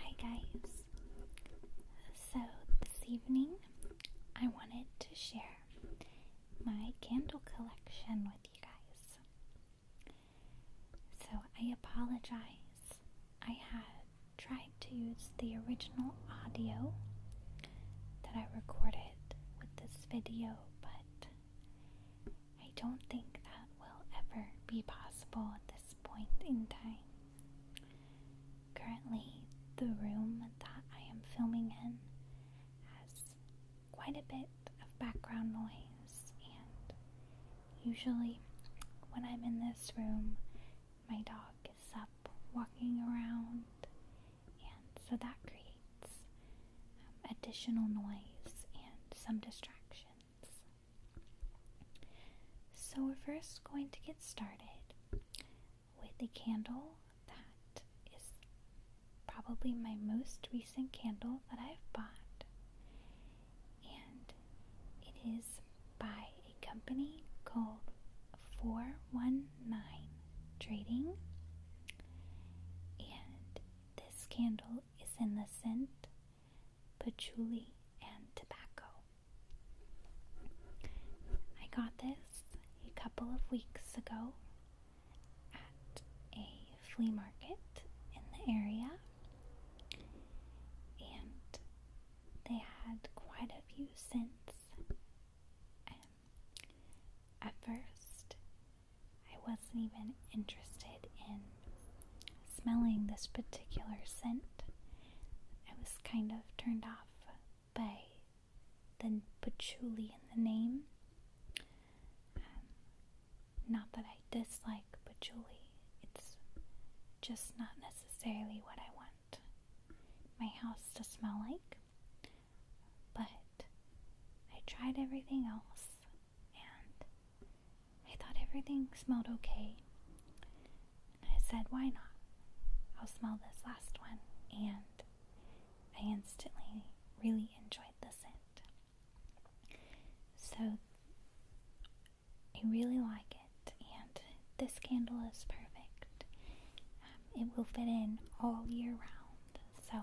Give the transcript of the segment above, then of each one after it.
Hi guys. So this evening I wanted to share my candle collection with you guys. So I apologize. I had tried to use the original audio that I recorded with this video, but I don't think that will ever be possible at this point in time. Currently, the room that I am filming in has quite a bit of background noise, and usually, when I'm in this room, my dog is up walking around, and so that creates um, additional noise and some distraction. So we're first going to get started with a candle that is probably my most recent candle that I've bought. And it is by a company called 419 Trading. And this candle is in the scent patchouli, and tobacco. I got this a couple of weeks ago at a flea market in the area, and they had quite a few scents. Um, at first, I wasn't even interested in smelling this particular scent. I was kind of turned off by the patchouli in the name. Um, not that I dislike patchouli, it's just not necessarily what I want my house to smell like. But I tried everything else and I thought everything smelled okay. I said, why not? I'll smell this last one. And I instantly really enjoyed the scent. So I really like it. And this candle is perfect. Um, it will fit in all year round. So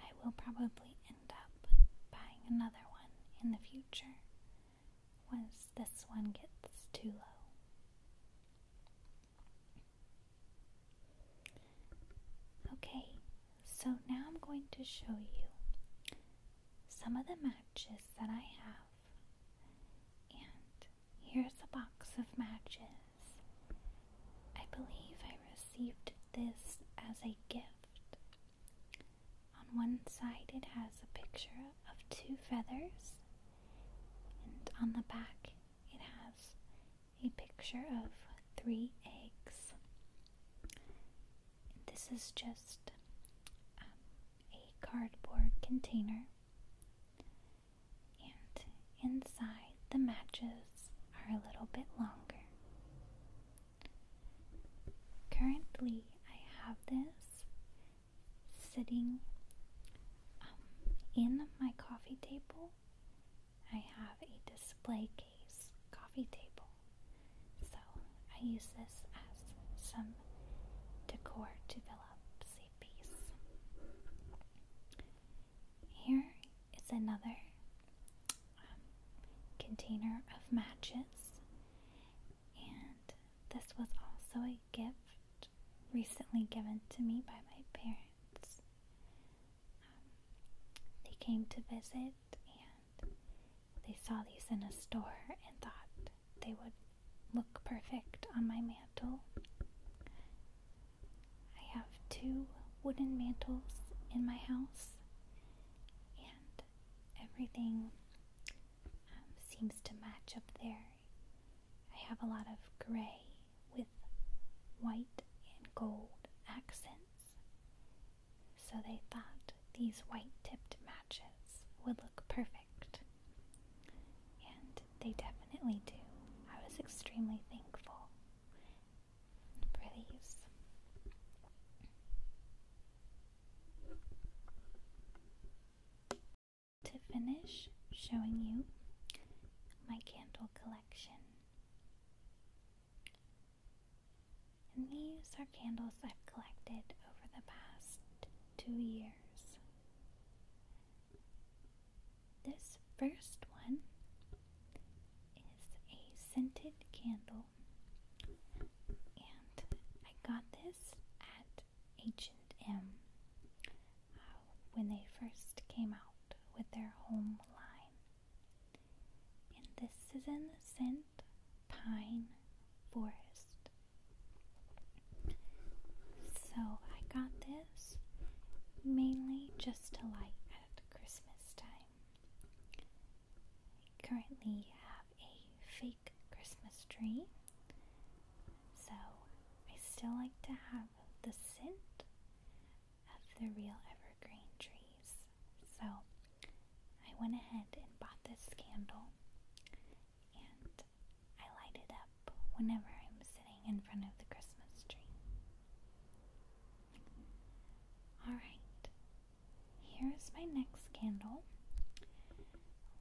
I will probably up buying another one in the future once this one gets too low. Okay, so now I'm going to show you some of the matches that I have. And here's a box of matches. I believe I received this as a gift on one side, it has a picture of two feathers, and on the back, it has a picture of three eggs. This is just um, a cardboard container, and inside, the matches are a little bit longer. Currently, I have this sitting um, in my coffee table. I have a display case coffee table, so I use this as some decor to fill up a piece. Here is another um, container of matches, and this was also a gift recently given to me by my parents. Um, they came to visit and they saw these in a store and thought they would look perfect on my mantle. I have two wooden mantles in my house, and everything um, seems to match up there. I have a lot of gray with white and gold accents, so they thought these white tipped matches would look perfect. And they definitely do. I was extremely thankful release. To finish showing you my candle collection. And these are candles I've collected over the past two years. This first one is a scented candle, and I got this at h m uh, when they first came out with their home line. And this is in the scent Pine Forest. So I got this mainly just to light at Christmas time. I currently have a fake Christmas tree, so I still like to have the scent of the real evergreen trees. So I went ahead and bought this candle and I light it up whenever I'm sitting in front of the Christmas tree. Alright, here's my next candle,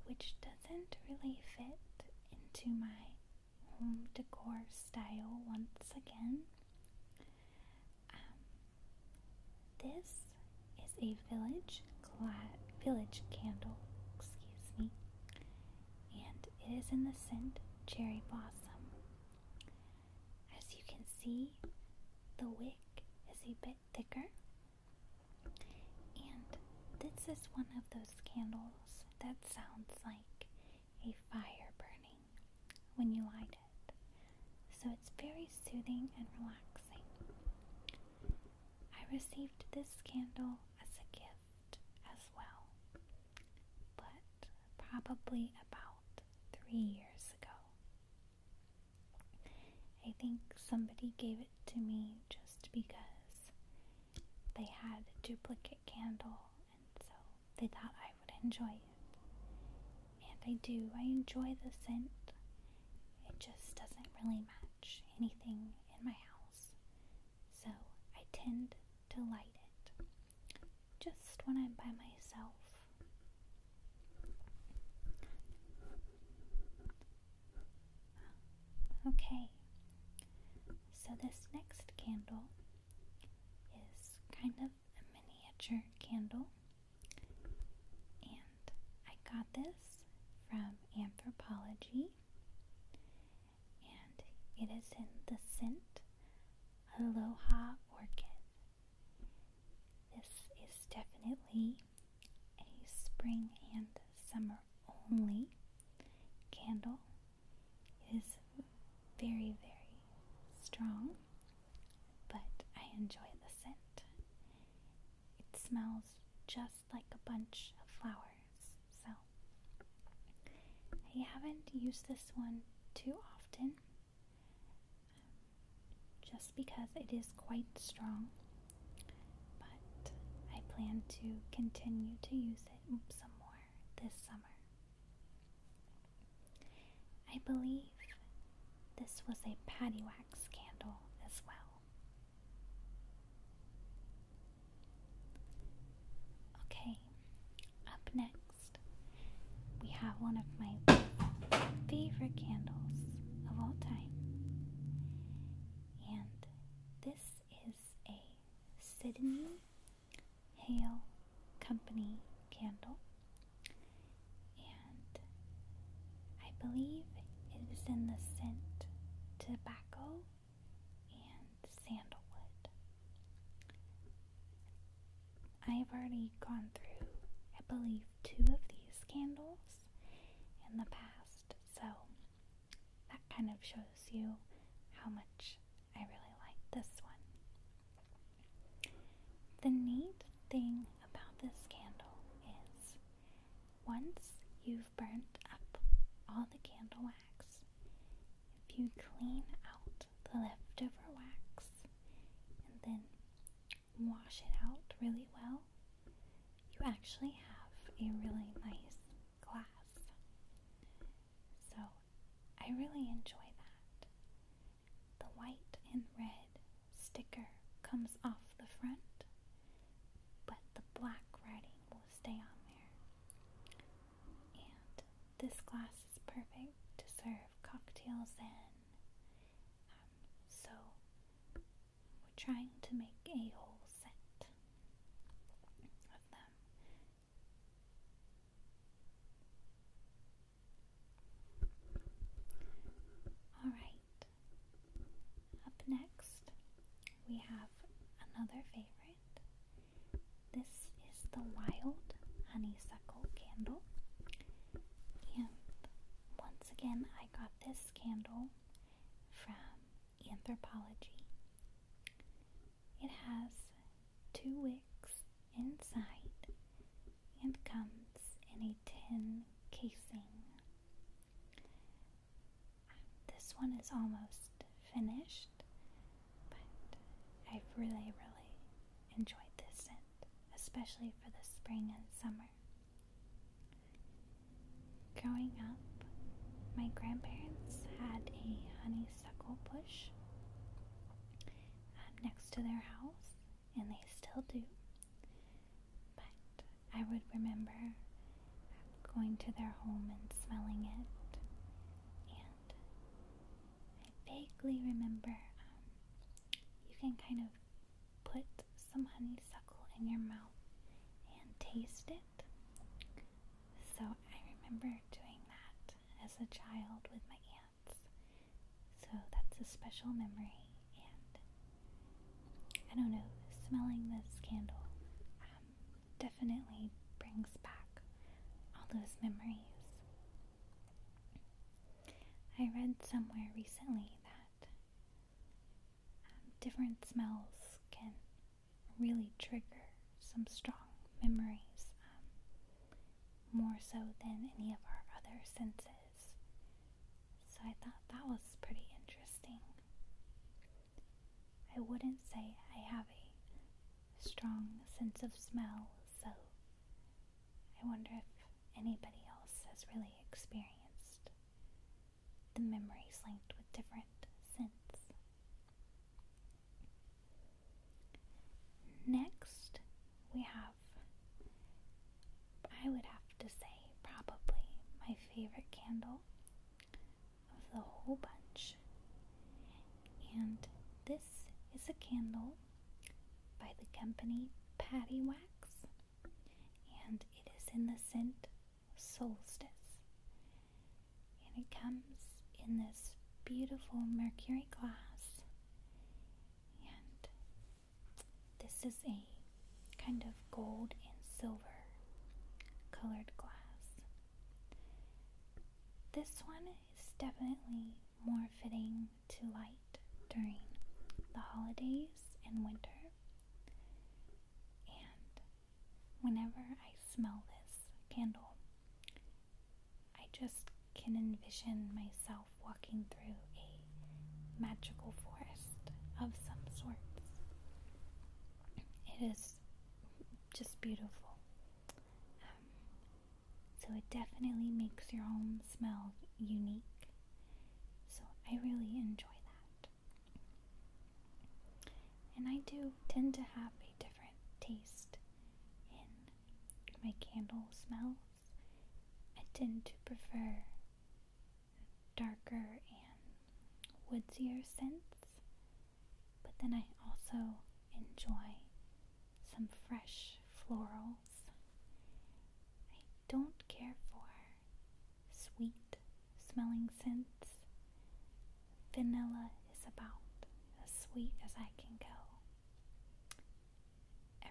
which doesn't really fit into my home decor style once again. Um, this is a village village candle, excuse me, and it is in the scent cherry blossom. As you can see, the wick is a bit thicker. And this is one of those candles that sounds like a fire burning when you light it. So it's very soothing and relaxing. I received this candle as a gift as well but probably about three years ago. I think somebody gave it to me just because they had a duplicate candle and so they thought I would enjoy it. And I do, I enjoy the scent. It just doesn't really match anything in my house. So I tend to light it just when I'm by myself. Okay, so this next candle is kind of a miniature candle, and I got this from Anthropology, and it is in the scent Aloha Orchid. This is definitely a spring and summer only candle. It is very, very strong, but I enjoy the scent. It smells just like a bunch of flowers, so I haven't used this one too often just because it is quite strong. But I plan to continue to use it some more this summer. I believe this was a patty wax candle as well. Okay, up next we have one of my favorite candles of all time. And this is a Sydney Hale Company candle. And I believe it is in the scent tobacco and sandalwood. I've already gone through, I believe, two of these candles in the past, so that kind of shows you how much I really like this one. The neat thing about this candle is once you've burnt up all the candle wax, if you clean out the leftover wax and then wash it out really well, you actually have a really nice glass. So I really enjoy that. The white and red sticker comes off the front, but the black writing will stay on there. And this glass is perfect to serve cocktails in. Um, so, we're trying to make a whole set of them. Alright, up next we have another favorite. This is the wild honeysuckle candle. And once again, I got this candle from Anthropology. It has two wicks inside and comes in a tin casing. This one is almost finished. But I've really, really enjoyed this scent, especially for the spring and summer. Growing up, my grandparents had a honeysuckle bush um, next to their house, and they still do. But I would remember going to their home and smelling it, I vaguely remember um, you can kind of put some honeysuckle in your mouth and taste it. So I remember doing that as a child with my aunts. So that's a special memory, and I don't know, smelling this candle um, definitely brings back all those memories. I read somewhere recently that um, different smells can really trigger some strong memories, um, more so than any of our other senses. So I thought that was pretty interesting. I wouldn't say I have a strong sense of smell, so I wonder if anybody else has really experienced the memories linked with different scents. Next, we have, I would have to say, probably my favorite candle of the whole bunch and this is a candle by the company Patty Wax, and it is in the scent Solstice. And it comes in this beautiful mercury glass, and this is a kind of gold and silver colored glass. This one is definitely more fitting to light during the holidays and winter. And whenever I smell this candle, I just can envision myself walking through a magical forest of some sorts. It is just beautiful. Um, so it definitely makes your home smell unique. So I really enjoy that. And I do tend to have a different taste in my candle smells. I tend to prefer darker and woodier scents but then I also enjoy some fresh florals. I don't care for sweet smelling scents. Vanilla is about as sweet as I can go.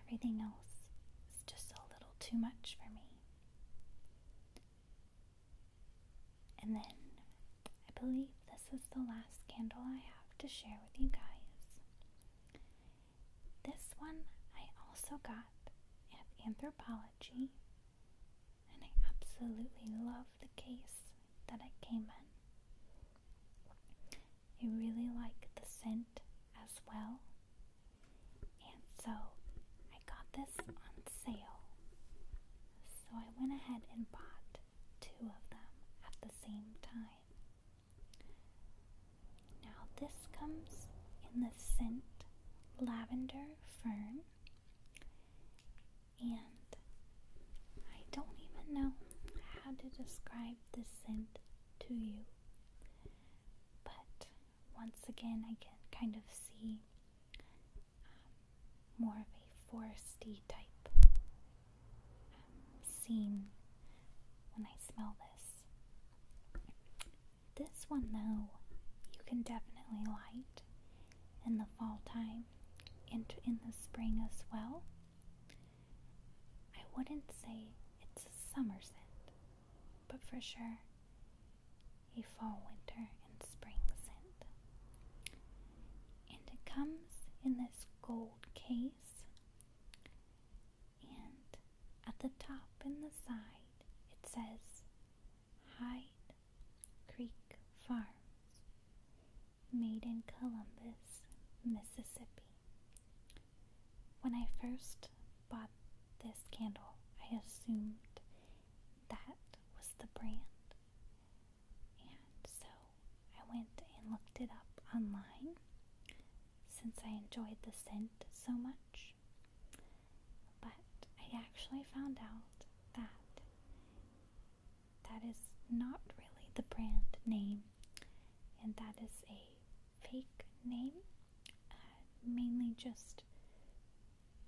Everything else is just a little too much for me. And then I believe this is the last candle I have to share with you guys. This one I also got at Anthropology, and I absolutely love the case that it came in. I really like the scent as well, and so I got this on sale. So I went ahead and bought two of them at the same time. Now, this comes in the scent lavender fern, and I don't even know how to describe the scent to you, but once again, I can kind of see more of a foresty type um, scene when I smell this. This one, though, you can definitely light in the fall time and in the spring as well. I wouldn't say it's a summer scent, but for sure a fall, winter, and spring scent and it comes in this gold case. And at the top and the side, it says Hyde Creek Farms, made in Columbus, Mississippi. When I first bought this candle, I assumed that was the brand, and so I went and looked it up online since I enjoyed the scent so much. But I actually found out that that is not really the brand name and that is a fake name, uh, mainly just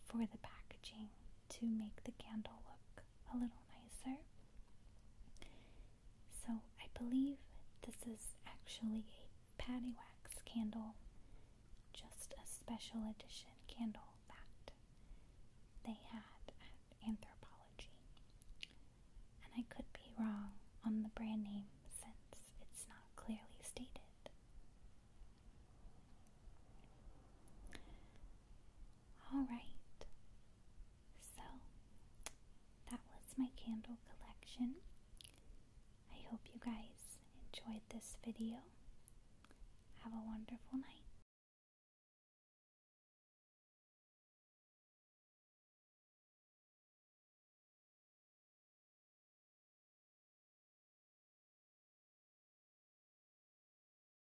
for the packaging to make the candle look a little nicer. So I believe this is actually a patty wax candle, just a special edition candle that they had at Anthropology. And I could be wrong on the brand name since it's not clearly stated. Alright, so that was my candle collection. I hope you guys enjoyed this video. Have a wonderful night.